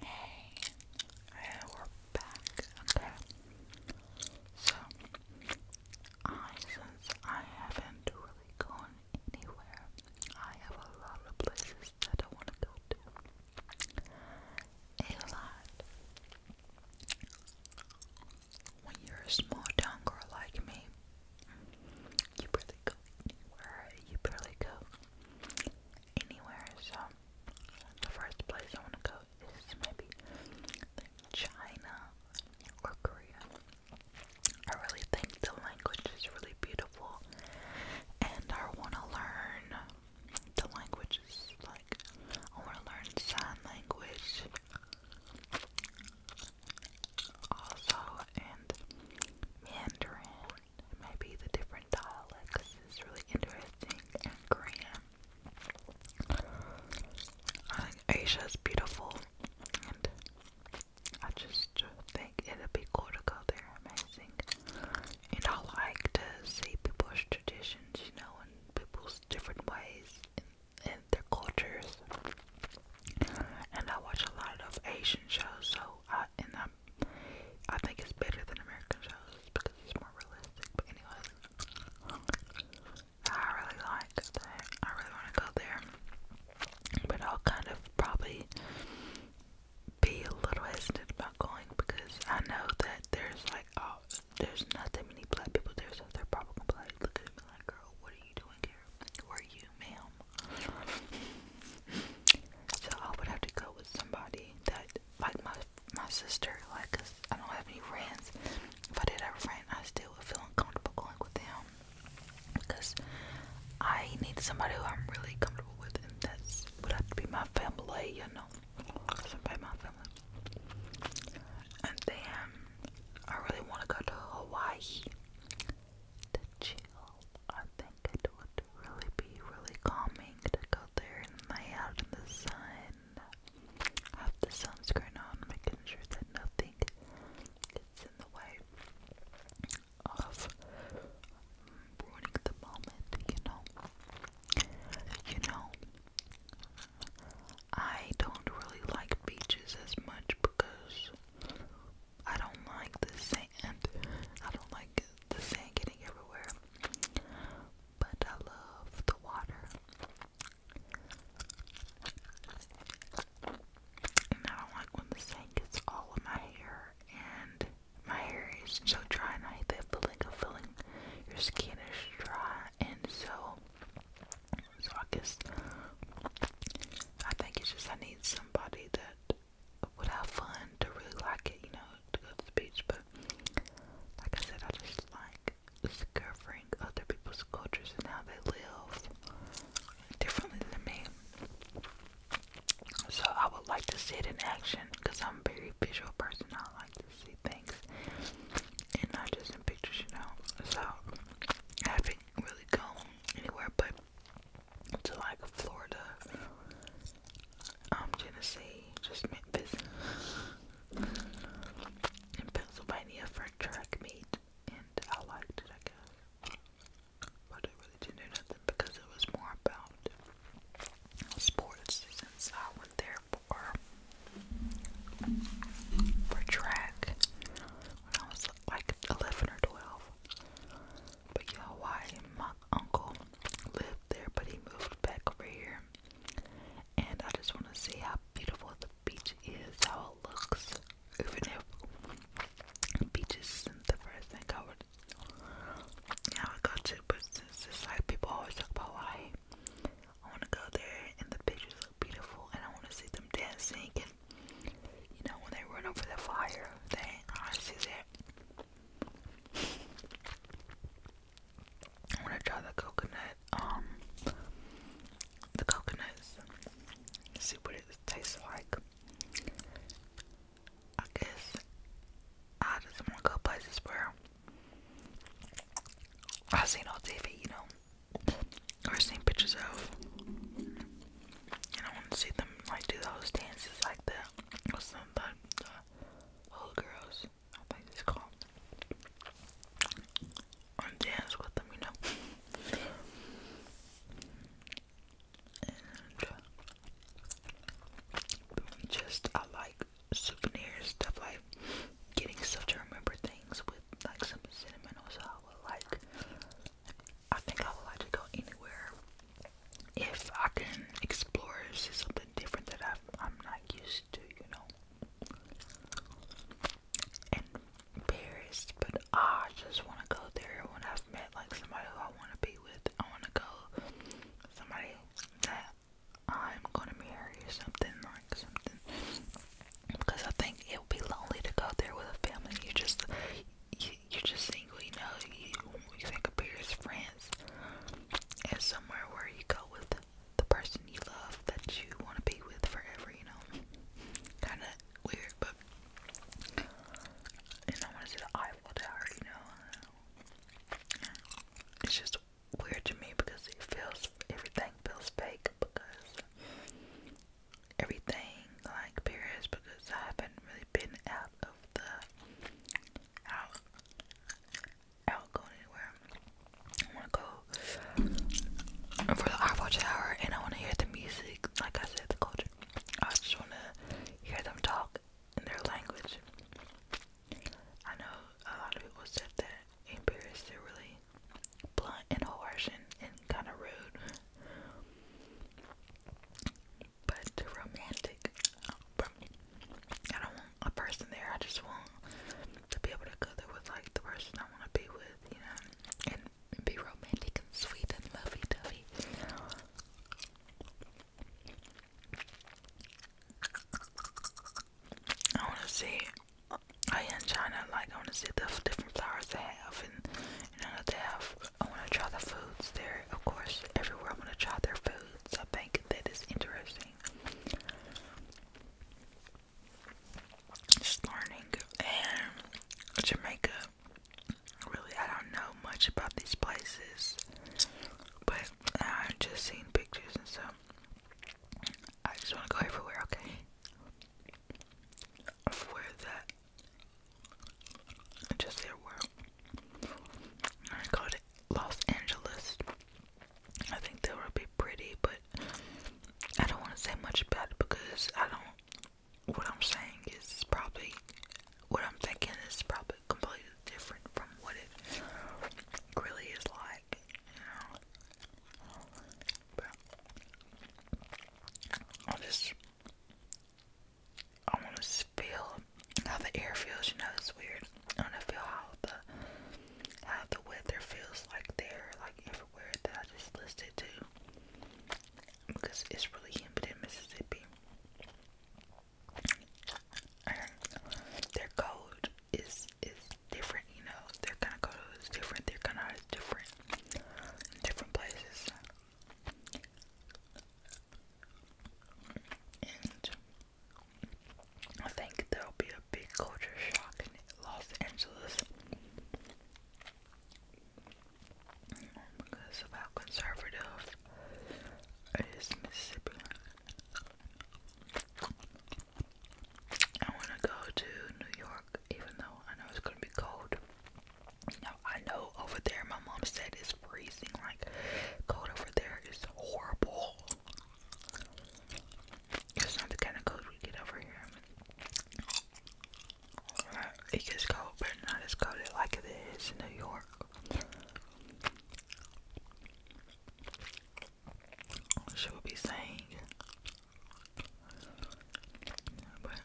Hey, we're back, okay? So, I, since I haven't really gone anywhere, I have a lot of places that I want to go to. A lot. When you're a small town girl like me, you barely go anywhere, you barely go anywhere. So the first place I want to go is maybe China or Korea. I really think the language is really beautiful, and I want to learn the languages. Like I want to learn sign language. Also, and Mandarin Maybe the different dialects is really interesting and Korean. I think Asia is beautiful and I just think it'd be cool to go there. Amazing. And I like to see people's traditions, you know, and people's different ways and, and their cultures. And I watch a lot of Asian shows, so I, and I I'm, I think it's better than American shows because it's more realistic. But anyways, I really like that. I really want to go there, but I'll kind of probably be a little hesitant about going because I know that there's like oh, there's not that many black people there, so they're probably gonna be like, look at me like, girl, what are you doing here? Who are you, ma'am? So I would have to go with somebody that, like my my sister, like, cause I don't have any friends. If I did have a friend, I still would feel uncomfortable going with them because I need somebody who I'm really comfortable with, and that's would have to be my family, you know, somebody my family. And then I really want to go to Hawaii to chill. I think it would really be really calming to go there and lay out in the sun. Have the sunscreen on, making sure that nothing gets in the way of ruining the moment, you know. You know, I don't really like beaches as much because I don't like the sand. I don't like the sand getting everywhere. But I love the water. And I don't like when the sand gets all in my hair and my hair is so dry and I hate that feeling of your skin is dry and so so I guess I think it's just I need somebody that would have fun to really like it, you know, to go to the beach. But like I said, I just like discovering other people's cultures and how they live differently than me. So I would like to see it in action because I'm a very visual person. I like to see things and not just in pictures, you know. So I haven't really gone anywhere but to like Florida, um, Tennessee, just Memphis, in Pennsylvania for track meet, and I liked it, I guess. But I really didn't do nothing because it was more about sports since I went there for for track when I was like eleven or twelve. But you know why my uncle lived there, but he moved back over here. And I just want to see how beautiful the beach is, how it looks. Even if beaches isn't the first thing I would, yeah, I would go to, but since it's like people always talk about Hawaii, I want to go there and the beaches look beautiful and I want to see them dancing and you know, when they run over the fire, they ain't honest as it. I'm gonna try the coconut, um, the coconuts. see what it tastes like. I guess I just wanna go places where I've seen on TV, you know. I've seen pictures of, and I want to see them like do those dances like the the old girls? I think it's called. And dance with them, you know. and just I like souvenirs, stuff like getting stuff remember things with like some cinnamon or so like I think I would like to go anywhere if I can explore see something different that I've, I'm not used to, you know. And Paris, but I just want to go there when I've met like somebody who I want to be with. I want to go somebody that I'm gonna marry something like something because I think it would be lonely to go there with a family. You just, you, you just single, you know. You, you think of Paris, friends. as somewhere where you go with the person you love that you want to be with forever. You know, kind of weird, but and I want to see the Eiffel Tower. You know, it's just weird to me because it feels everything feels fake because everything like Paris because I haven't really been out of the out out going anywhere. I wanna go for the Eiffel Tower and I wanna hear the music, like I said, the culture. I just wanna hear them talk in their language. I know a lot of people said that in Paris they're really blunt and harsh and, and kind of rude. But romantic. I don't want a person there. I just want to be able to go there with like the person I want to be with, you know, and, be romantic and sweet and lovey dovey. I want to see I am trying to like I want to see the different flowers they have, and you know they have. I want to try the foods there, of course. Everywhere I want to try their foods. I think that is interesting. Just learning and Jamaica. Really, I don't know much about these places, but I've just seen pictures and stuff. I just want to go everywhere, okay? of where that just their were. I called Los Angeles. I think that would be pretty, but I don't want to say much about it because I don't. What I'm saying is probably what I'm thinking is probably completely different from what it really is like. I'll just I want to feel how the air feels. You know, it's weird. I want to feel how the how the weather feels like there, like everywhere that I just listed too, because it's really humid in Mississippi. And their code is is different, you know, they're kind of color is different, their kind of is different different places. And I think there'll be a big culture shock in Los Angeles because of how conservative it is Mississippi. I want to go to New York even though I know it's gonna be cold. I know over there my mom said it's freezing, like cold over there is horrible. It's not the kind of cold we get over here. It gets cold, but not as cold like it is in New York she would be saying. But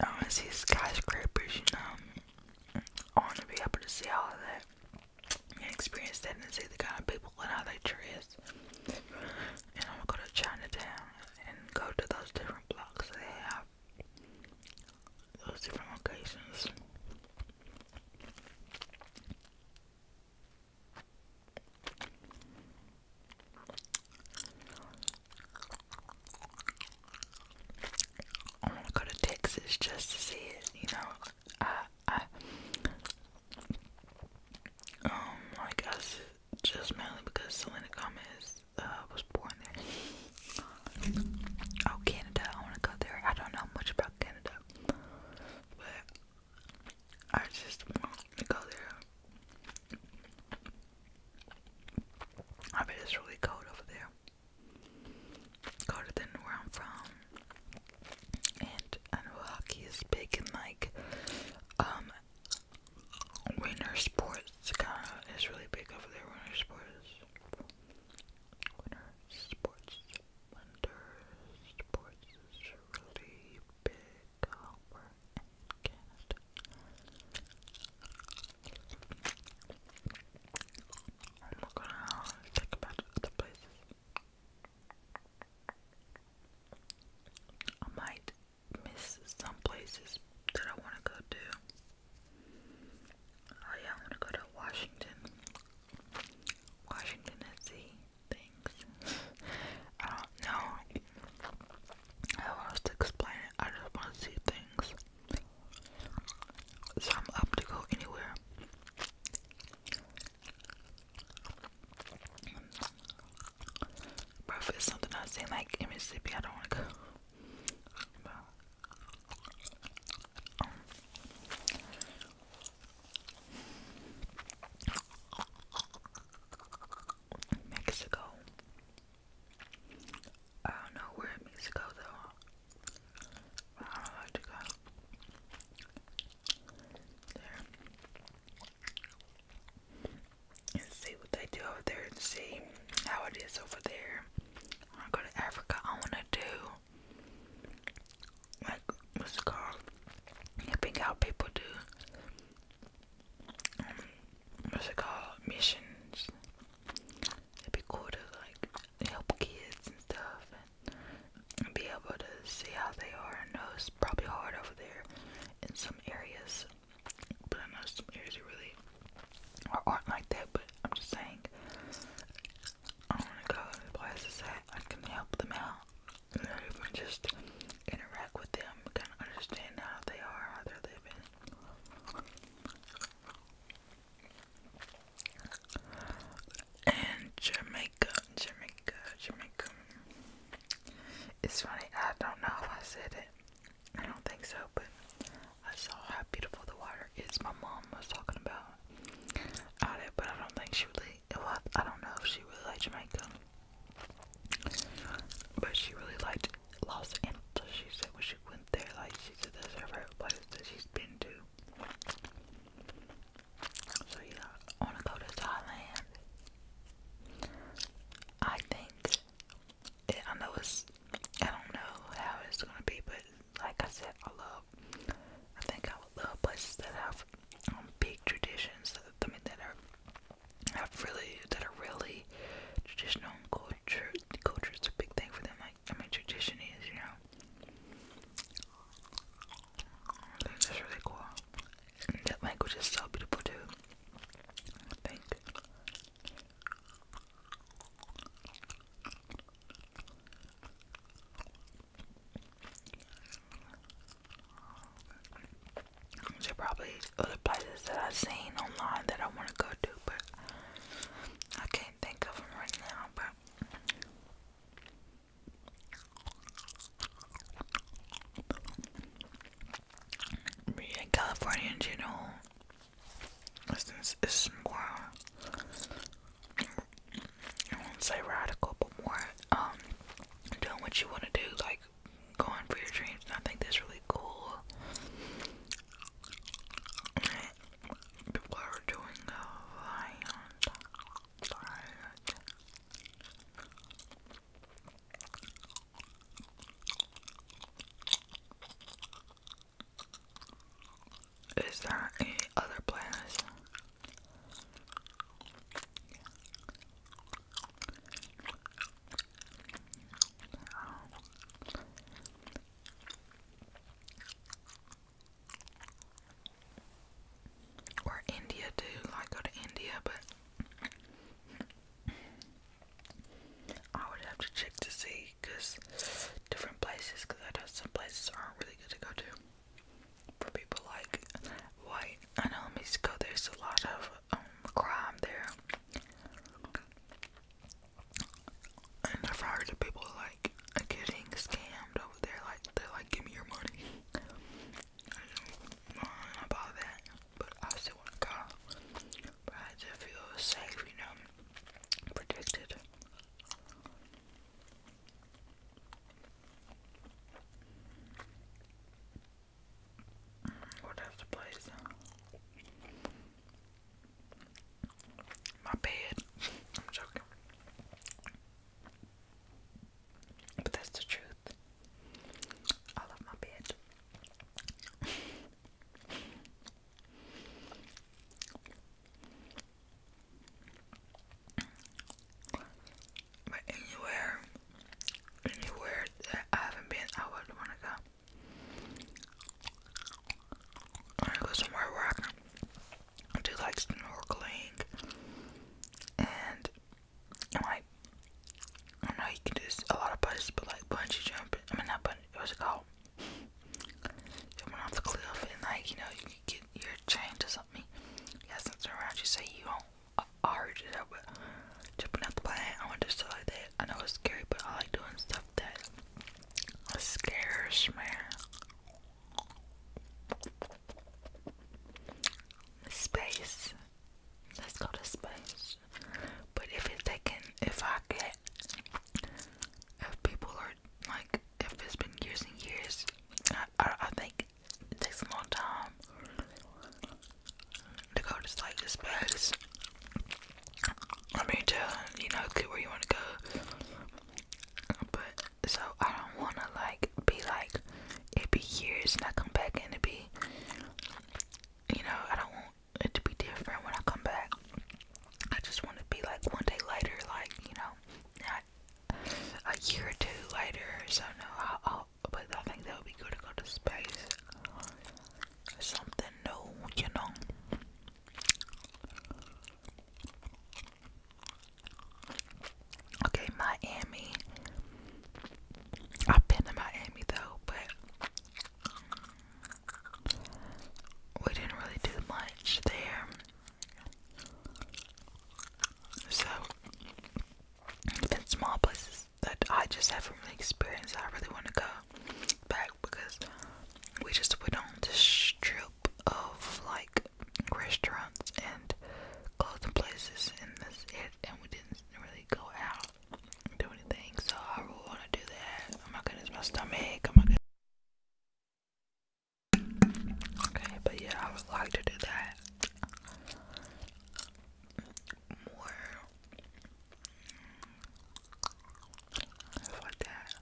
I want to see skyscrapers, you know. I want to be able to see all of that and experience that and see the kind of people and how they dress. And I'm gonna go to Chinatown and go to those different blocks they have, those different locations. I want to go to Texas just to see it, you know. I, I, um, I guess just mainly because Selena Gomez uh, was born there. Oh, Canada, I want to go there. I don't know much about Canada, but I just want to go there. I bet it's really cold over there. Colder than where I'm from. And I know hockey is big and like um winter sports kinda is really big over there, winter sports. Winter sports. Winter sports really big I'm not gonna think about other places. I might miss some places that I want to go to. Oh yeah, I want to go to Washington. Washington, D.C things. I don't know how else to explain it. I just want to see things. So I'm up to go anywhere. But it's something I've like in Mississippi, I don't want Mexico. I don't know where Mexico though. I don't know to go there see what they do over there and see how it is over there. I go to Africa. I want to do like what's it called? Helping out people do um, what's it called? Missions. it be cool to like help kids and stuff and be able to see how they are. I know it's probably hard over there in some areas. But I know some areas that really are, aren't like that, but I'm just saying I want to go to places that can help them out. Or just interact with them, kind of understand how they are, how they're living. And Jamaica, Jamaica, Jamaica. It's funny, I don't know if I said it. I don't think so, but I saw how beautiful the water is. My mom was talking about but I don't think she really. Well, I don't know if she really liked Jamaica, but she really liked Los Angeles. She said when she went there, like she said that's her favorite place that she's been to. So yeah, I want to go to Thailand. I think. I know it's. I don't know how it's gonna be, but like I said, I love. I think I love places that have um, big traditions. That, I mean, that are have really that are really traditional culture. Culture is a big thing for them. Like I mean, tradition is, you know. I think that's really cool. that language is so beautiful too. I think. There's probably other places that I've seen online that I want to go to, but I can't think of them right now. But yeah, California in general, it's, it's wild. I won't say radical, but more um, doing what you want to do, like going for your dreams. I think that's really cool. People are doing a is there any other planets? Or India too, like go to India, but I would have to check to see because different places, because I know some places aren't really good to go to for people like white. I know in Mexico there's a lot of um, crime there, and I've heard of people like getting scammed over there. Like they're like, "Give me your money." I don't know about that, but I still want to go. But I just feel safe, you know, protected. What else to place? My bed. I'm joking. But that's the truth. I love my bed. But anywhere, anywhere that I haven't been, I would want to go. want to go somewhere where I do like snorkeling and like. I know you a lot of places, but like bungee jumping. I mean, not bungee. What's it called? You're off the cliff and like, you know, you can get your chained to something. Yes, You got something around you say you don't I, I heard it up but jumping off the plane, I want to do stuff like that. I know it's scary but I like doing stuff that scares me. Space. Let's go to space. But if it's taken, if I get if people are like if it's been years and years I, I, think it takes a long time to go to like this space I mean to you know get where you want to go but so I don't want to like be like it be years and I come back and it be you know I don't it to be different when I come back. I just want to be like one day later, like you know, a year or two later. So no, I'll, I'll but I think that would be good to go to space, something new, you know. Okay, Miami. I've been to Miami though, but we didn't really do much there. So, even small places that I just haven't really experienced, I really want to go back because we just went on this strip of like restaurants and clothing places in this it, and we didn't really go out do anything, so I really want to do that. Oh my goodness, my stomach. Oh my goodness. Okay, but yeah, I would like to do that more like that.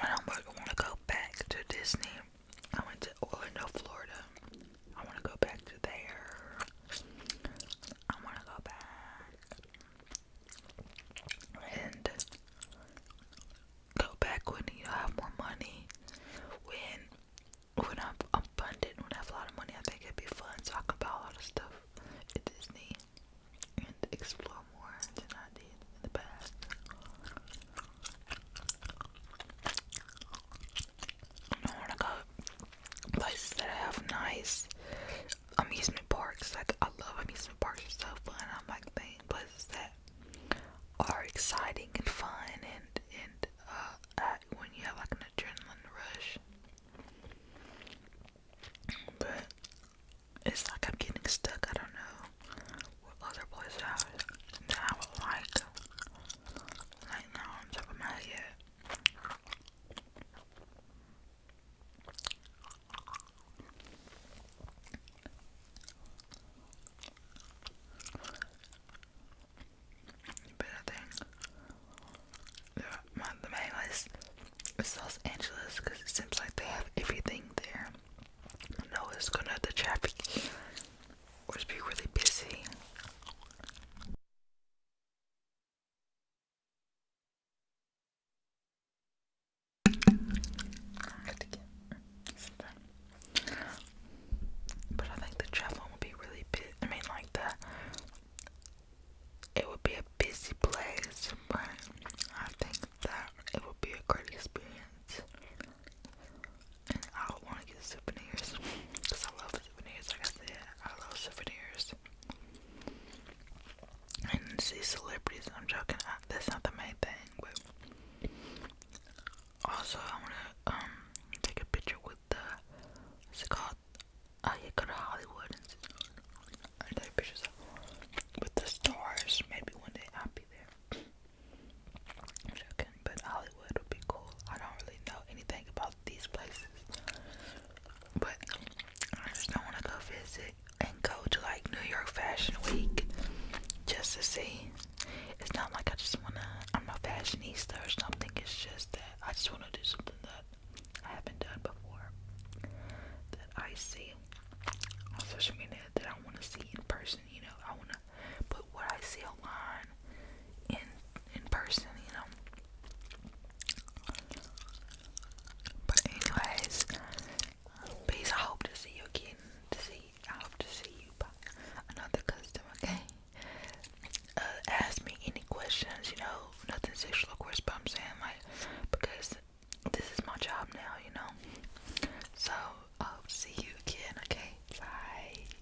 And I'm want to go back to Disney. I went to Orlando, Florida. I want to go back to there. I wanna go back and go back when you have more money. When when I'm abundant, when I have a lot of money, I think it'd be fun so I could buy a lot of stuff at Disney and explore more than I did in the past. I want to go places that have nice amusement parks. Like I love amusement parks; they so fun. I'm like playing places that are exciting and fun, and and uh, when you have like an adrenaline rush. But it's like I'm getting stuck. I don't know what other places I would, like. Like no, i top of my head. But I think the, my, the main list Los Angeles because it seems like they have everything there. I know it's gonna the traffic would be really busy. But I think the travel would be really big. I mean, like the it would be a busy place, I think that it would be a great experience. And I would want to get souvenirs because I love souvenirs. I got the I love souvenirs. And see celebrities. I'm joking. that's not the main thing, but also I wanna um, take a picture with the what's it called? Uh, go to Hollywood and take pictures with the stars. Maybe one day I'll be there. joking, but I'll Hollywood would be cool. I don't really know anything about these places, but I just don't want to go visit and go to like New York Fashion Week just to see. It's not like I just want to, I'm a fashionista or something, it's just that I just want to do something that I haven't done before that I see on social media that I want to see in person, you know. I want to put what I see online in in person, you know. But anyways, please I hope to see you again. To see, I hope to see you back. Another customer, okay? Uh, ask me any questions, you know, nothing sexual, of course. But I'm saying like because this is my job now, you know. So I hope see you again, okay? Bye.